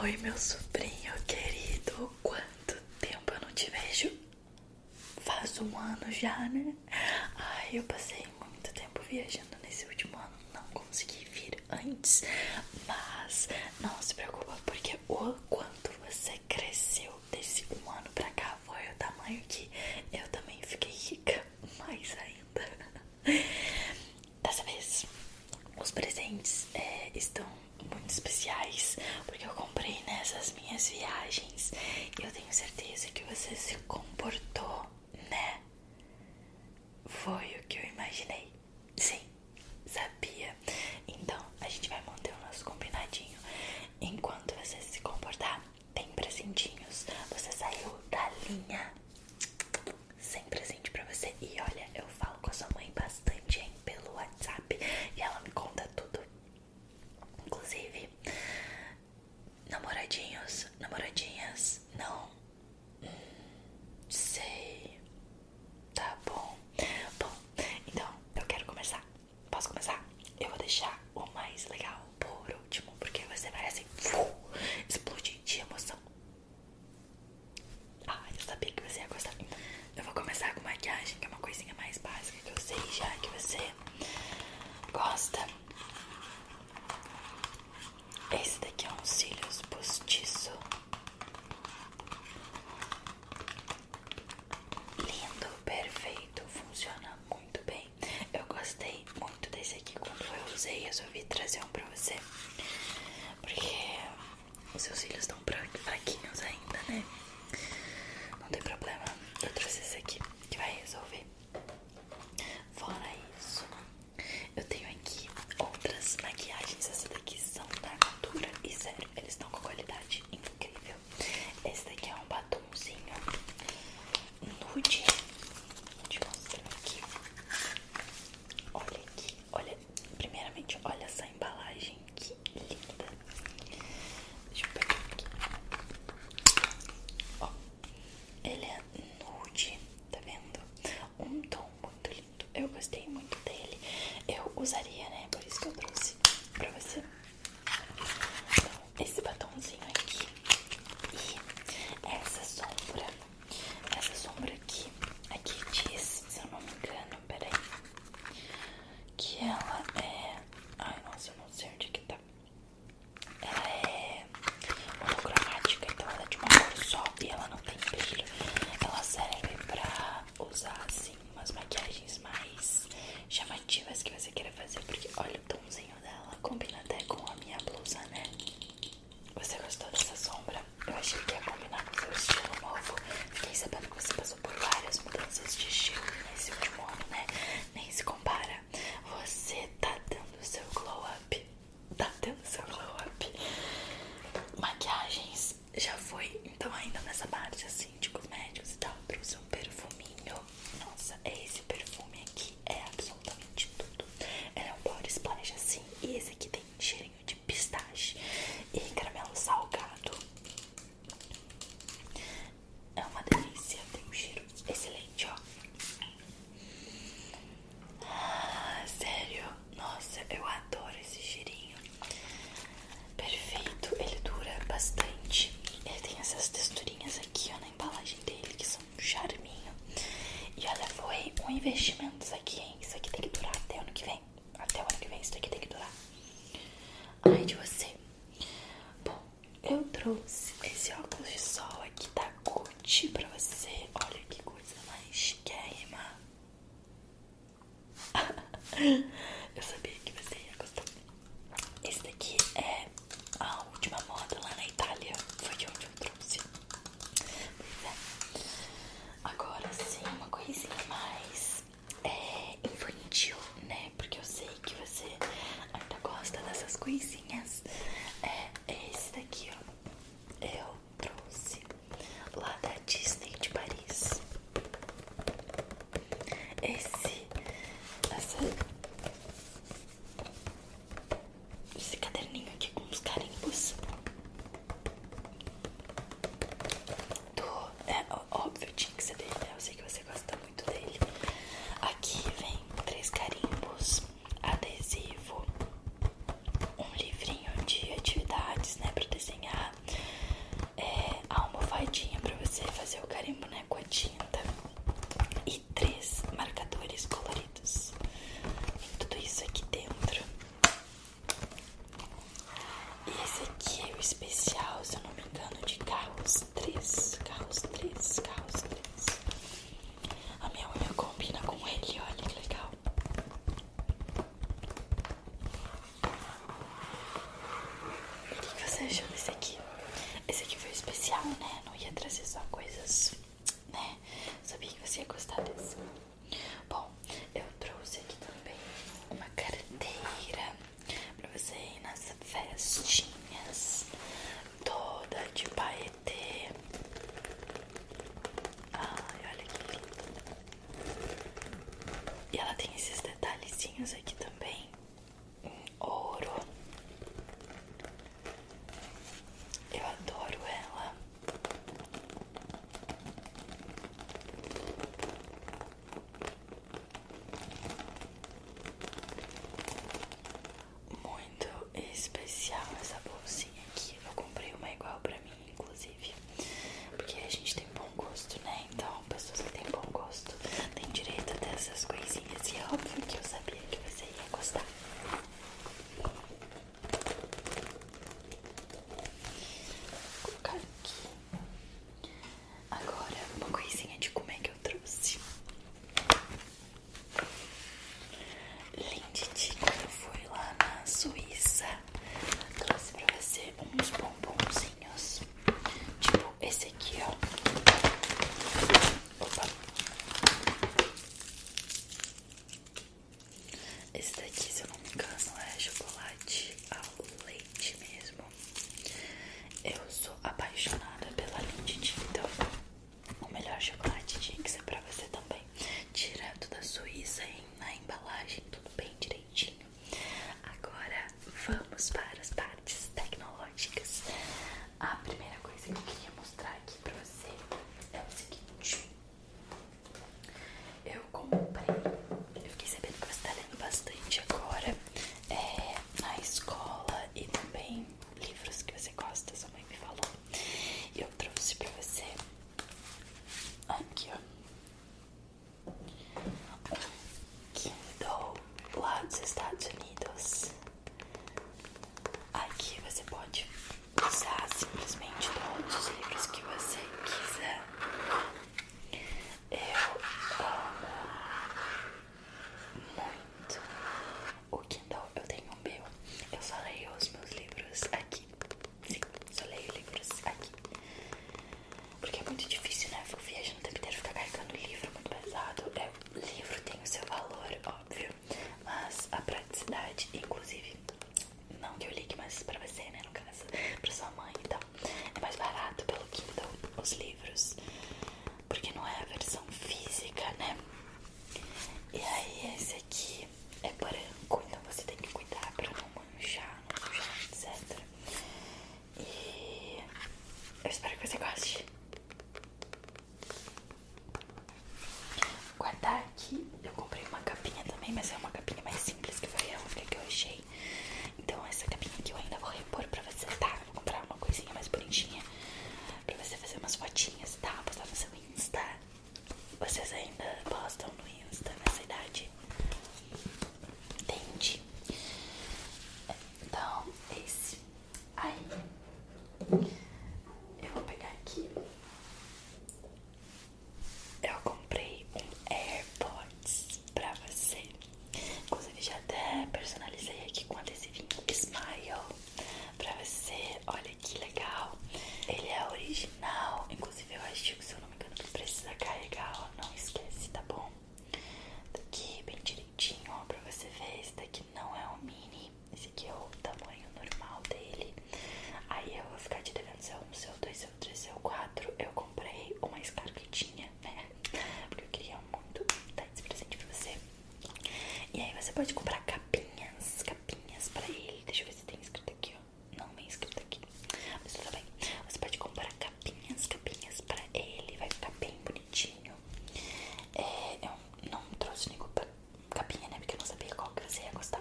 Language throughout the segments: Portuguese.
Oi, meu sobrinho querido, quanto tempo eu não te vejo? Faz um ano já, né? Ai, eu passei muito tempo viajando nesse último ano, não consegui vir antes, mas não se preocupa, porque o quanto você cresceu desse um ano pra cá foi o tamanho que eu também fiquei rica, mais ainda. Dessa vez, os presentes é, estão muito especiais, porque eu comprei nessas minhas viagens e eu tenho certeza que você se comportou, né? Foi o que eu imaginei. Sim, sabia. Então, a gente vai manter o nosso combinadinho. Enquanto você se comportar, tem presentinhos. Você saiu da linha sem presente pra você. E olha, eu falo com a sua mãe bastante, hein, pelo WhatsApp. E ela me conta tudo. Inclusive, namoradinhos, namoradinhas, não hum, sei. Tá bom. Bom, então eu quero começar. Posso começar? Eu vou deixar o mais legal por último, porque você parece assim, explodir de emoção. Ah, eu sabia que você ia gostar. Eu vou começar com maquiagem, que é uma coisinha mais básica que eu sei já que você gosta. Esse daqui é um cílios postiço. Lindo, perfeito, funciona muito bem. Eu gostei muito desse aqui quando eu usei, Eu resolvi trazer um pra você. Porque os seus cílios estão fraquinhos ainda, né? Não tem problema, eu trouxe esse aqui que vai resolver. Fora isso, eu tenho aqui outras maquiagens. Essa daqui são da Natura e zero eles estão com qualidade incrível. Esse daqui é um batomzinho nude. Vou te mostrar aqui. Olha aqui, olha Primeiramente, olha essa embalagem que linda. Deixa eu pegar aqui. Ó, ele é nude, tá vendo? Um tom muito lindo. Eu gostei muito dele. Eu usaria, né? Por isso que eu trouxe pra você. esse batomzinho aqui e essa sombra essa sombra aqui, aqui diz, se eu não me engano, peraí, que ela é. Ai, nossa, eu não sei onde que tá. Ela é monocromática, então ela é de uma cor só e ela não tem brilho. Ela serve pra usar assim umas maquiagens mais chamativas que você queira fazer, porque olha o tomzinho dela, combina até com a minha blusa, né? Você gostou dessa sombra? Eu achei que ia combinar com seu estilo novo. Fiquei sabendo que você passou por várias mudanças de estilo nesse último ano, né? Nem se compara. Você tá dando seu glow up. Tá dando seu glow up. Maquiagens já foi. Então, ainda nessa parte assim de cosméticos e tal, trouxe um perfuminho. Nossa, é esse perfume aqui é absolutamente tudo. Ele é um body splash assim. E esse aqui tem cheiro de pistache e caramelo salgado. É uma delícia, tem um cheiro excelente, ó. Ah, sério, nossa, eu adoro esse cheirinho. Perfeito, ele dura bastante. Ele tem essas texturinhas aqui, na embalagem dele, que são um charminho. E olha, foi um investimento isso aqui, hein? Isso aqui tem que durar até ano que vem. Até o ano que vem, isso daqui tem que durar. Ai, de você. Bom, eu trouxe esse óculos de sol aqui da Gucci pra você. Olha que coisa mais chique chiquérrima. eu sabia que você ia gostar. Esse daqui é a última moda lá na Itália. Foi de onde eu trouxe. Pois é. Agora sim, uma coisinha mais é, infantil, né? Porque eu sei que você ainda gosta dessas coisinhas. É, é esse daqui, ó. Eu trouxe lá da Disney de Paris. Esse, esse caderninho aqui com os carimbos. É óbvio, tinha que ser dele, né? Eu sei que você gosta muito dele. Aqui vem três carimbos, adesivo, um livrinho de atividades, né? Pra desenhar. É, a almofadinha pra você fazer o carimbo, né? Com a tinta. E três marcadores coloridos. Tem tudo isso aqui dentro. E esse aqui é o especial, se eu não me engano, de carros 3. Carros 3, carros 3. A minha unha combina com ele, olha que legal. o que você achou desse aqui? Esse aqui foi especial, né? Não ia trazer só coisas, né? Sabia que você ia gostar desse. Bom, eu trouxe aqui também uma carteira pra você ir nas festinhas, toda de paetê. Ai, olha que linda. E ela tem esses detalhezinhos aqui também, em ouro. Eu adoro ela. Muito especial essa bolsinha aqui. Eu comprei uma igual pra mim, inclusive. Porque a gente tem bom gosto, né? Então, pessoas que têm bom gosto têm direito essas coisinhas. E é óbvio que eu sabia que você ia gostar. Vou colocar aqui. Agora, uma coisinha de como é que eu trouxe. Linditi, quando eu fui lá na Suíça, trouxe pra você uns bombonzinhos. Tipo esse aqui, ó. Opa. Esse daqui, se eu não me engano, é chocolate ao leite mesmo. Eu sou apaixonada pela Lindt, então o melhor chocolate tinha que ser pra você também. Direto da Suíça, hein? na embalagem, tudo bem direitinho. Agora vamos para as partes tecnológicas. A primeira coisa que eu queria mostrar aqui para você é o seguinte: eu comprei, eu fiquei sabendo que você tá lendo bastante agora é, na escola e também livros que você gosta, sua mãe me falou. E eu trouxe para você aqui, ó. Um Kindle lá dos Estados Unidos. Aqui você pode usar simplesmente todos os livros que você quiser. Eu amo muito o Kindle. Eu tenho o meu. Eu só leio os meus livros aqui. Sim, só leio livros aqui. Porque é muito difícil, né? Eu fico viajando o tempo inteiro, ficar carregando livro muito pesado. É, livro tem o seu valor, óbvio. Mas a praticidade, inclusive, não que eu ligue, mas pra você, né? No caso, pra sua mãe e tal é mais barato pelo Kindle os livros, porque não é a versão física, né? E aí esse aqui é branco, então você tem que cuidar pra não manchar, não sujar, etc. E eu espero que você goste. Guardar aqui, eu comprei uma capinha também, mas é uma capinha mais simples que foi a única que eu achei. Então essa capinha aqui eu ainda vou repor pra você, tá? Vou comprar uma coisinha mais bonitinha pra você fazer umas fotinhas, tá? Postar no seu Insta. Vocês ainda postam no Insta nessa idade? Entende? Então, esse é aí. Eu vou pegar aqui eu comprei um AirPods pra você. Inclusive, já até personalizei aqui com adesivinho Smile pra você. Olha que legal. Ele é original. Inclusive, eu acho que se eu não me engano, precisa carregar. Não esquece, tá bom? Daqui bem direitinho, ó, pra você ver. Esse daqui não é um mini. Esse aqui é o tamanho normal dele. Aí eu vou ficar te devendo seu 1, seu 2, seu aconteceu 4, eu comprei o mais caro que tinha, né? Porque eu queria muito dar esse presente pra você. E aí você pode comprar capinhas, capinhas pra ele. Deixa eu ver se tem escrito aqui, ó. Não, não é escrito aqui. Mas tudo bem. Você pode comprar capinhas, capinhas pra ele. Vai ficar bem bonitinho. É, eu não trouxe nenhuma capinha, né? Porque eu não sabia qual que você ia gostar.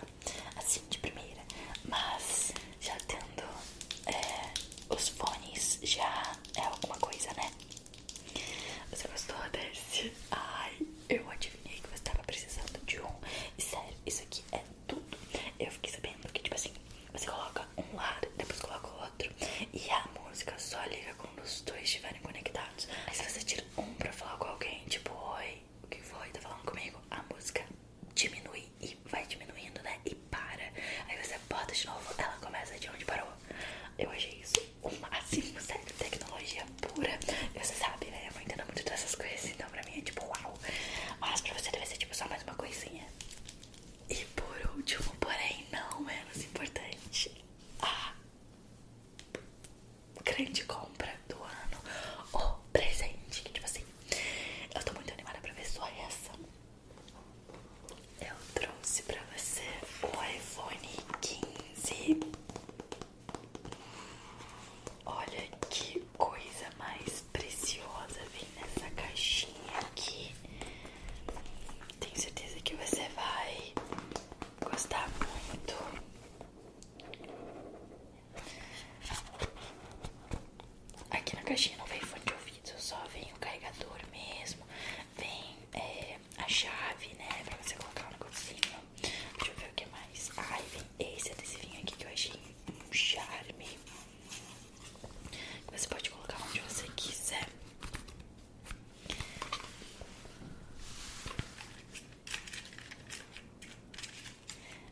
Assim, de primeira. Mas já tendo é, os fones já é alguma coisa, né? Você gostou desse? Ai, eu adivinhei que você estava precisando de um. E sério, isso aqui é tudo. Eu fiquei sabendo que, tipo assim, você coloca um lado, depois coloca o outro. E a música só liga quando os dois estiverem conectados. Aí se você tira um pra falar com alguém, tipo, oi, o que foi? Tá falando comigo? A música diminui e vai diminuindo, né? E para. Aí você bota de novo, ela começa de onde parou. Eu achei isso o máximo, sério. Tecnologia pura. E você sabe, né? Eu vou entendo muito dessas coisas, então pra mim é tipo uau. Mas pra você deve ser tipo só mais uma coisinha. E por último, porém não menos importante, a grande compra do ano, o presente. Que tipo assim, eu tô muito animada pra ver sua reação eu trouxe para você o iPhone 15. Olha que coisa mais preciosa vem nessa caixinha aqui. Tenho certeza que você vai gostar muito. Aqui na caixinha não vem fone de ouvido, só vem o carregador mesmo. Vem é, a chave, né? Pra você colocar o cozinha Deixa eu ver o que mais. Ai, vem esse adesivinho aqui que eu achei um charme. Você pode colocar onde você quiser.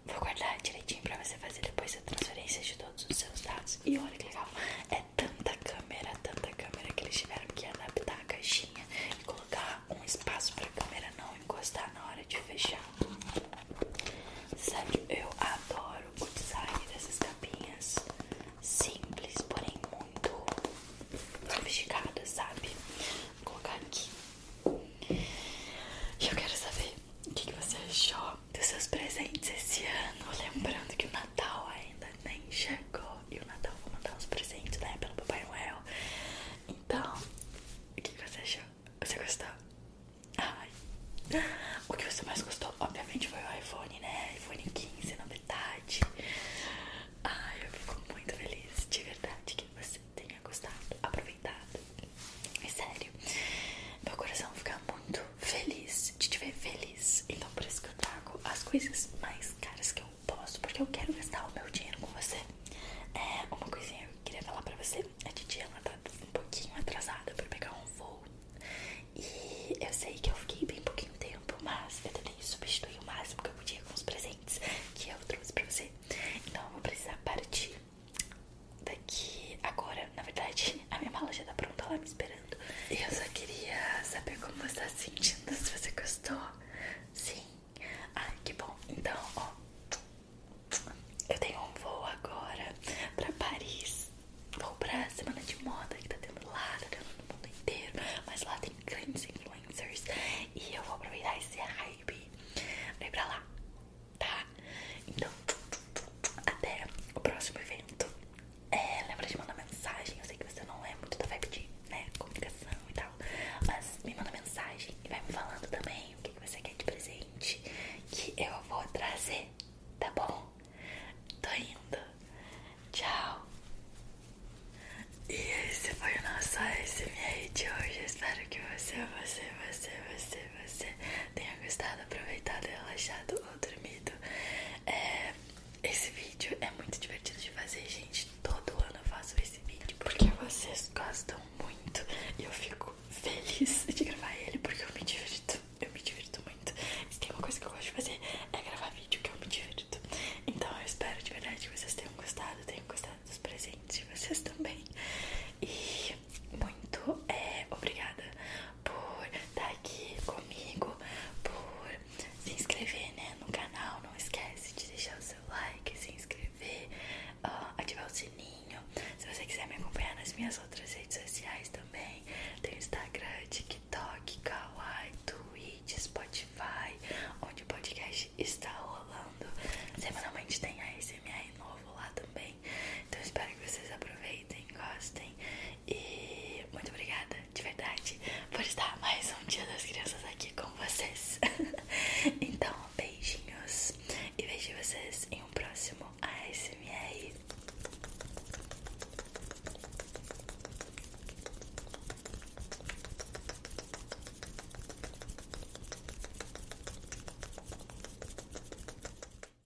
Vou guardar direitinho pra você fazer depois a transferência de todos os seus dados. E olha que legal, é tanta câmera, tanta câmera que eles tiveram que adaptar a caixinha e colocar um espaço pra câmera não encostar na hora de fechar. Sério, eu adoro o design dessas capinhas. Simples, porém muito sofisticadas, sabe? Vou colocar aqui. E eu quero saber o que, você achou dos seus presentes esse ano. Lembrando que o Natal ainda nem chegou e o Natal vou mandar os presentes, né, pelo Papai Noel. Então, o que, você achou? Você gostou? Ai. O que você mais gostou, obviamente, foi o iPhone, né? iPhone 15, na novidade. Ai, eu fico muito feliz de verdade que você tenha gostado, aproveitado é sério. Meu coração fica muito feliz de te ver feliz. Então por isso que eu pago as coisas mais caras que eu posso. Porque eu quero gastar o meu dinheiro com você. É uma coisinha que eu queria falar pra você. A Didi ela tá um pouquinho atrasada pra pegar um voo. E eu sei que eu fiquei bem pouquinho tempo, mas eu também substituí o máximo que eu podia com os presentes que eu trouxe pra você. Então eu vou precisar partir daqui agora, na verdade, a minha mala já tá pronta lá me esperando. Eu só queria saber como você tá sentindo, se você gostou. Sim. Ai, que bom. Então, ó. Eu tenho um voo agora pra Paris. Vou pra semana de moda que tá tendo lá, tá tendo no mundo inteiro. Mas lá tem grandes influencers. E eu vou aproveitar esse hype pra pra lá tá? Então, até o próximo evento. É, lembra de mandar mensagem. Eu sei que você não é muito da vibe né, comunicação e tal, mas me manda mensagem e vai me falando também o que, que você quer de presente que eu vou trazer, tá bom? Tô indo. Tchau. E esse foi o nosso ASMR de hoje. Espero que você, você, você, você, você tenha gostado, aproveitado e relaxado dormido. É, esse vídeo é muito divertido de fazer, gente. Todo ano eu faço esse vídeo porque vocês gostam muito e eu fico feliz de gravar ele porque eu me divirto. Eu me divirto muito. Se tem uma coisa que eu gosto de fazer é gravar vídeo que eu me divirto. Então eu espero de verdade que vocês tenham gostado, tenham gostado dos presentes de vocês também. E muito é, obrigada por estar tá aqui comigo, por se inscrever né, no canal. Não esquece de deixar o seu like, se inscrever, ativar o sininho. Se você quiser me acompanhar nas minhas outras redes sociais também, tem Instagram, TikTok, Kawaii, Twitch, Spotify, onde o podcast está rolando. Semanalmente tem a SMR novo lá também. Então espero que vocês aproveitem, gostem. E muito obrigada, de verdade, por estar mais um dia das crianças aqui com vocês. então, beijinhos e vejo vocês em um próximo ASMR.